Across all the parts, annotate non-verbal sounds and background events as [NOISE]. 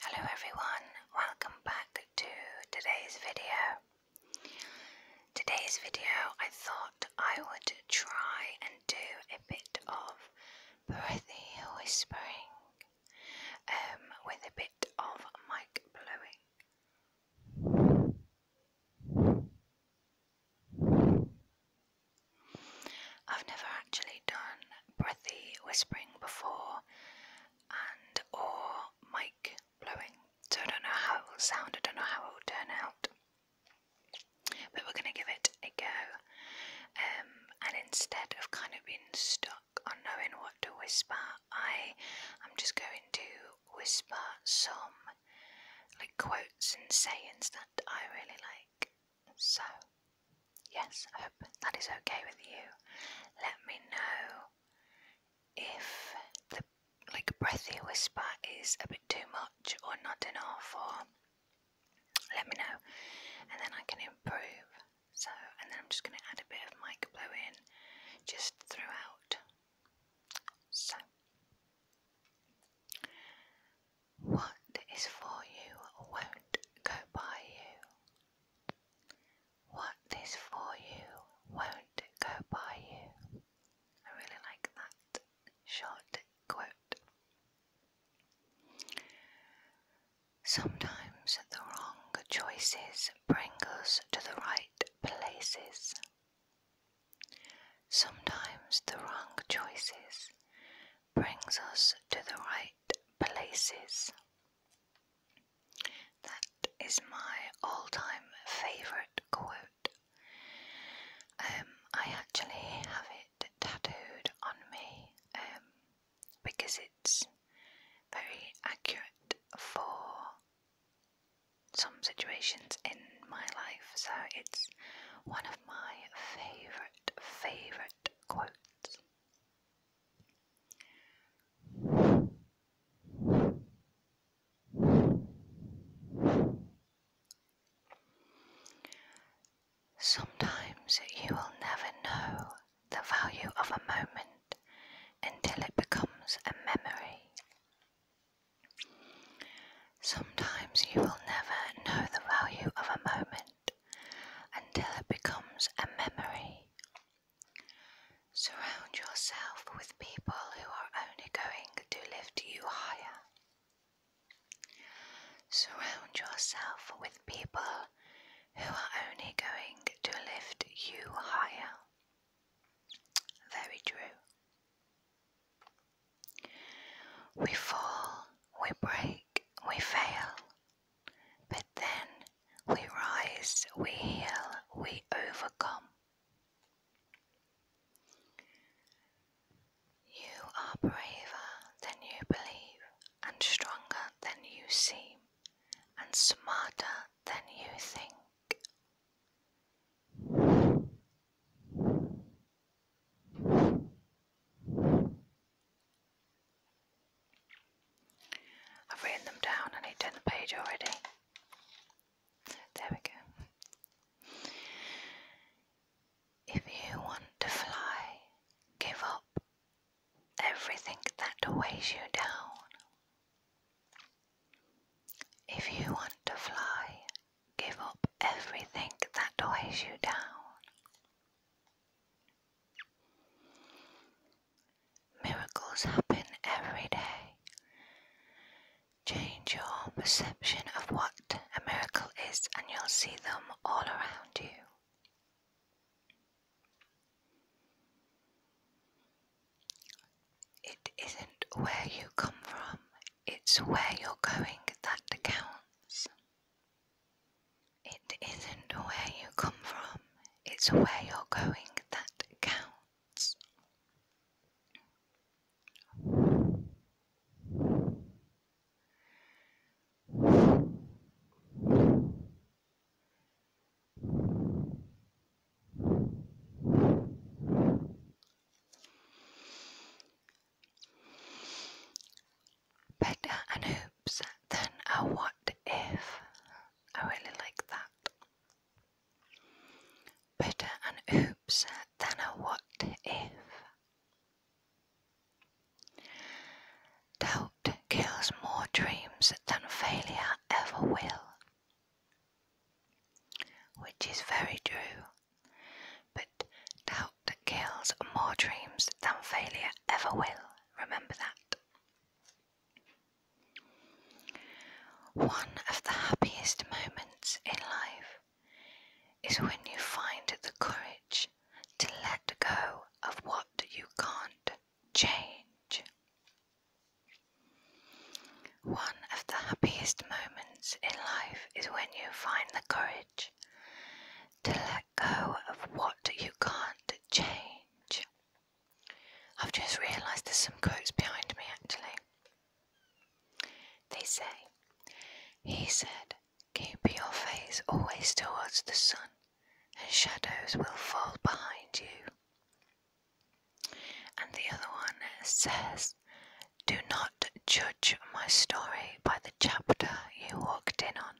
Hello everyone, welcome back to today's video. Today's video I thought I would try and do a bit of breathy whispering um, with a bit of mic blowing. I've never actually done breathy whispering before and or mic blowing, so I don't know how it will sound, I don't know how it will turn out. But we're going to give it a go. Um, and instead of kind of being stuck on knowing what to whisper, I am just going to whisper some like quotes and sayings that I really like. So, yes, I hope that is okay with you. Let me know if the like breathy whisper is a bit too much or not enough, or let me know, and then I can improve. So, and then I'm just going to add a bit of mic blowing just throughout. So, what is for you won't go by you. What is for you won't go by you. I really like that short quote. Sometimes the wrong choices bring us to the right places. Sometimes the wrong choices brings us to the right places. That is my all time favourite quote. Um, I actually have it tattooed on me um, because it's very accurate for some situations in my life, so it's one of my favourite favorite, quotes. Sometimes you will never know the value of a moment until it becomes a memory. Sometimes you will never know the value of a moment until it becomes a memory. Surround yourself with people who are only going to lift you higher. Surround yourself with people who are only going to lift you higher. Very true. We fall, we break, we fail, but then we rise, we heal, we overcome. You are braver than you believe, and stronger than you seem, and smarter than you think. I've written them down and I turned the page already. There we go. If you want to fly, give up everything that weighs you down. If you want to fly, Give up everything that weighs you down. Miracles happen every day. Change your perception of what a miracle is, and you'll see them all around you. It isn't where you come from, it's where you're going that counts. It isn't where you come from, it's where you're going that counts. Becca and Hoops, then a what if. I really like that. Becca and Hoops, then a what if. Doubt kills more dreams than failure ever will. Which is very true. But doubt kills more dreams than failure ever will. Remember that. One of the happiest moments in life is when you find the courage to let go of what you can't change. One of the happiest moments in life is when you find the courage to let go of what you can't change. I've just realised there's some quotes behind me actually. They say, He said, Keep your face always towards the sun, and shadows will fall behind you. And the other one says, Do not judge my story by the chapter you walked in on.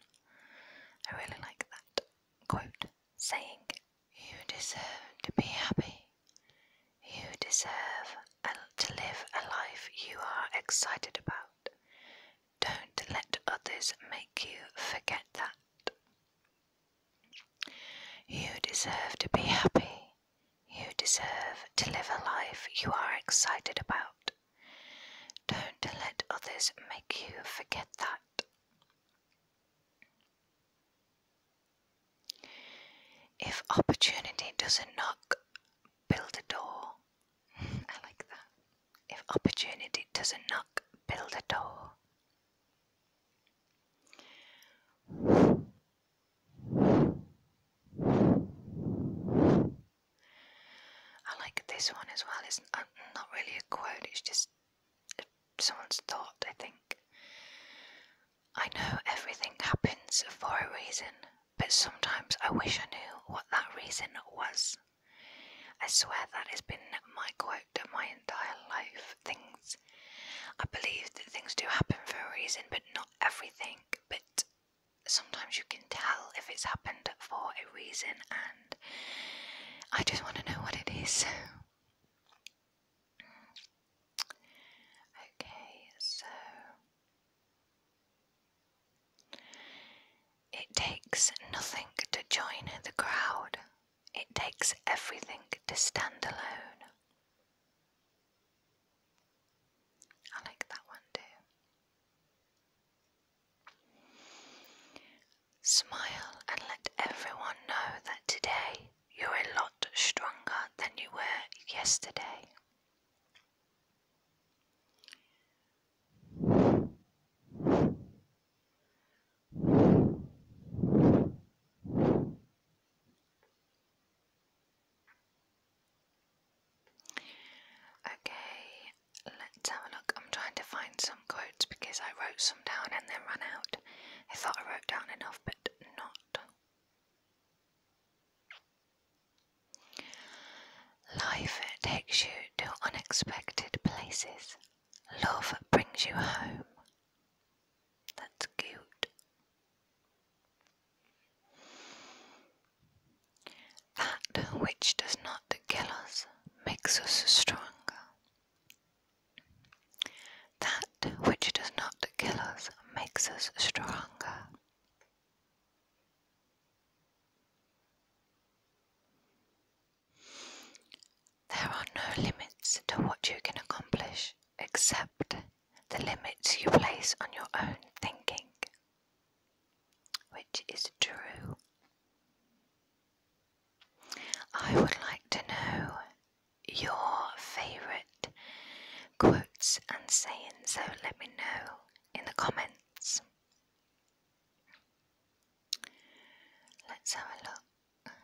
I really like that quote saying, You deserve to be happy. You deserve to live a life you are excited about. Don't let others make you forget that. You deserve to be happy. You deserve to live a life you are excited about. Don't let others make you forget that. If opportunity doesn't knock, build a door. [LAUGHS] I like that. If opportunity doesn't knock, build a door. I like this one as well. It's not really a quote, it's just someone's thought, I think. I know everything happens for a reason, but sometimes I wish I knew what that reason was. I swear that has been my quote my entire life. Things I believe that things do happen for a reason, but not everything. But sometimes you can tell if it's happened for a reason, and I just want to know what it is. okay, so. It takes nothing to join the crowd it takes everything to stand alone. I like that one too. Smile and let everyone know that today you're a lot stronger than you were yesterday. Okay, let's have a look. I'm trying to find some quotes because I wrote some down and then ran out. I thought I wrote down enough, but not. Life takes you to unexpected places. Love brings you home. That's cute. That which does not kill us makes us stronger. That which does not kill us makes us stronger. There are no limits to what you can accomplish except the limits you place on your own thinking, which is true. I would like to know your favourite quotes and sayings, so let me know in the comments. Let's have a look. I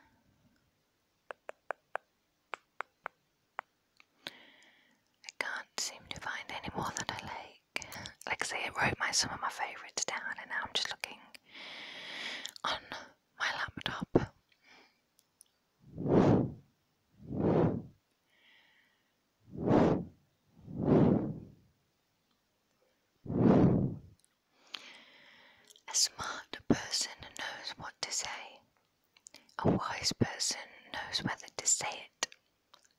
can't seem to find any more that I like. Like I say, I wrote my some of my favourites down, and now I'm just looking on my laptop. A smart person knows what to say. A wise person knows whether to say it.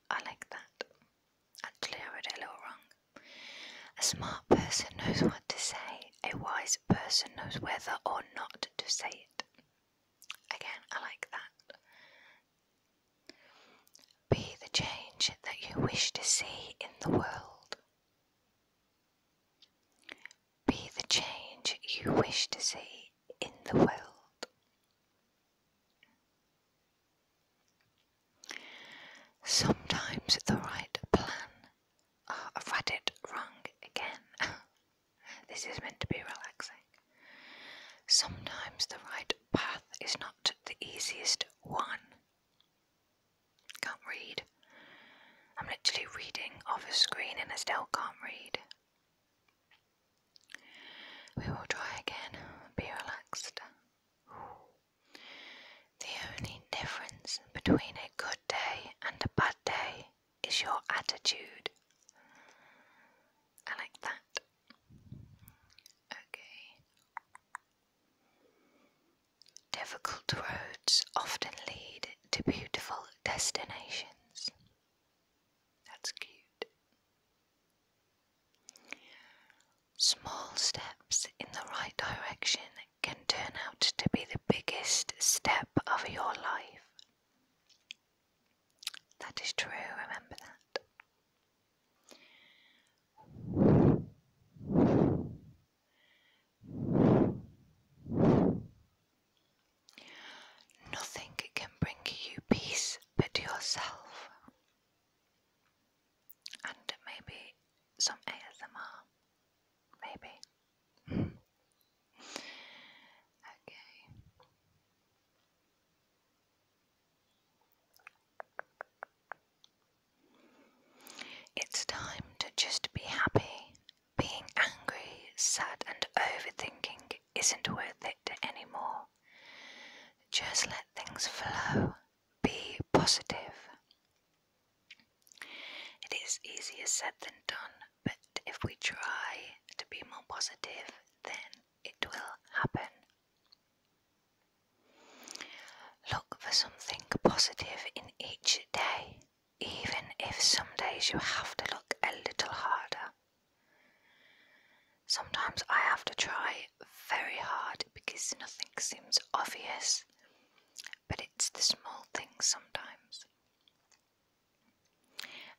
I like that. Actually, I read it a little wrong. A smart person knows what to say. A wise person knows whether or not to say it. Again, I like that be the change that you wish to see in the world. Be the change you wish to see in the world. Sometimes the right plan. Oh, ah, I've read it wrong again. [LAUGHS] this is meant to be relaxing. Sometimes the right path is not the easiest one. Can't read. I'm literally reading off a screen and I still can't read. We will try again. Be relaxed. The only difference between a good day and a bad day is your attitude. like that. Okay. Difficult roads often lead to beautiful destinations. That's cute. Small steps in the right direction can turn out to be the biggest step of your life. That is true, remember that. Nothing can bring you peace but yourself, and maybe some ASMR. Maybe. [LAUGHS] okay. It's time to just be happy. Being angry, sad, and overthinking isn't worth it anymore. Just let things flow. Be positive. It is easier said than done, but if we try to be more positive, then it will happen. Look for something positive in each day, even if some days you have to look a little harder. Sometimes I have to try very hard because nothing seems obvious, but it's the small things sometimes.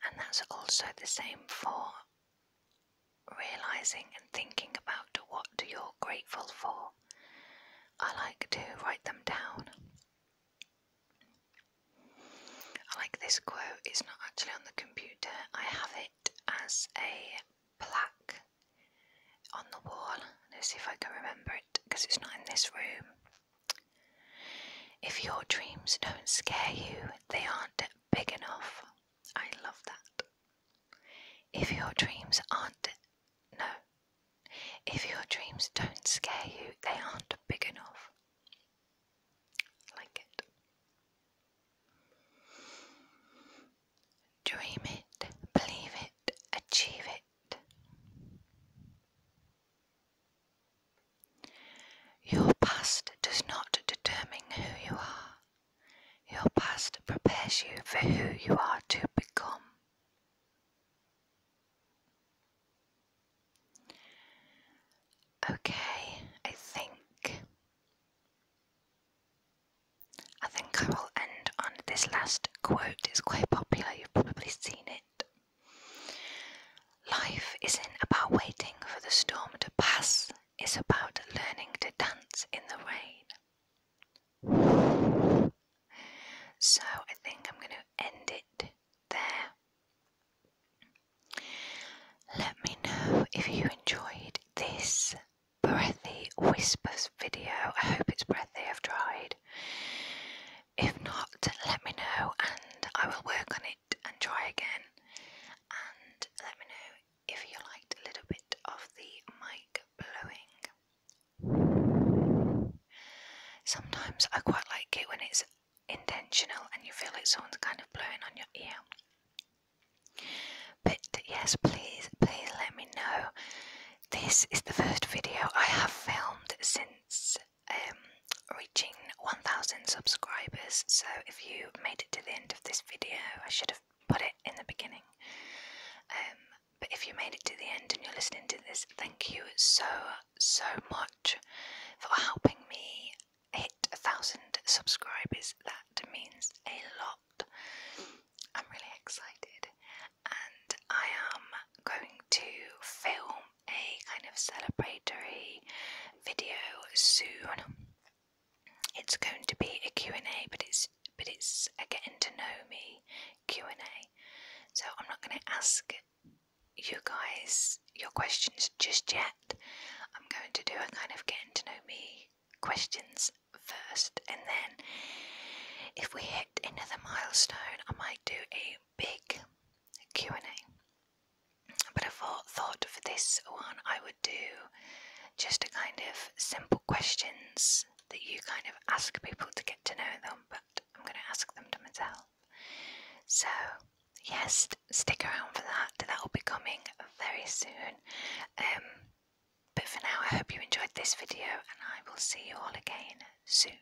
And that's also the same for Realizing and thinking about what you're grateful for, I like to write them down. I like this quote, it's not actually on the computer, I have it as a plaque on the wall. Let's see if I can remember it because it's not in this room. If your dreams don't scare you, they aren't big enough. I love that. If your dreams aren't. No. If your dreams don't scare you, they aren't big enough. Like it. Dream it, believe it, achieve it. Your past does not determine who you are. Your past prepares you for who you are to become. Okay, I think. I think I will end on this last quote. It's quite popular, you've probably seen it. Life isn't about waiting for the storm to pass, it's about learning to dance in the rain. So I think I'm going to end it there. Let me know if you enjoyed this breathy whispers video. I hope it's breathy, I've tried. If not, let me know and I will work on it and try again. And let me know if you liked a little bit of the mic blowing. Sometimes I quite like it when it's intentional and you feel like someone's kind of blowing on your ear. But yes, please, please let me know. This is the first video I have filmed since um, reaching 1000 subscribers so if you made it to the end of this video I should have put it in the beginning um, but if you made it to the end and you're listening to this thank you so so much for helping me hit a thousand subscribers that means a lot I'm really excited and I am going to film a kind of celebratory video soon. It's going to be a Q&A, but it's but it's a getting to know me Q&A. So I'm not going to ask you guys your questions just yet. I'm going to do a kind of getting to know me questions first and then if we hit another milestone I might do a big Q&A. But I thought for this one I would do just a kind of simple questions that you kind of ask people to get to know them, but I'm going to ask them to myself. So, yes, stick around for that. That will be coming very soon. Um, but for now, I hope you enjoyed this video and I will see you all again soon.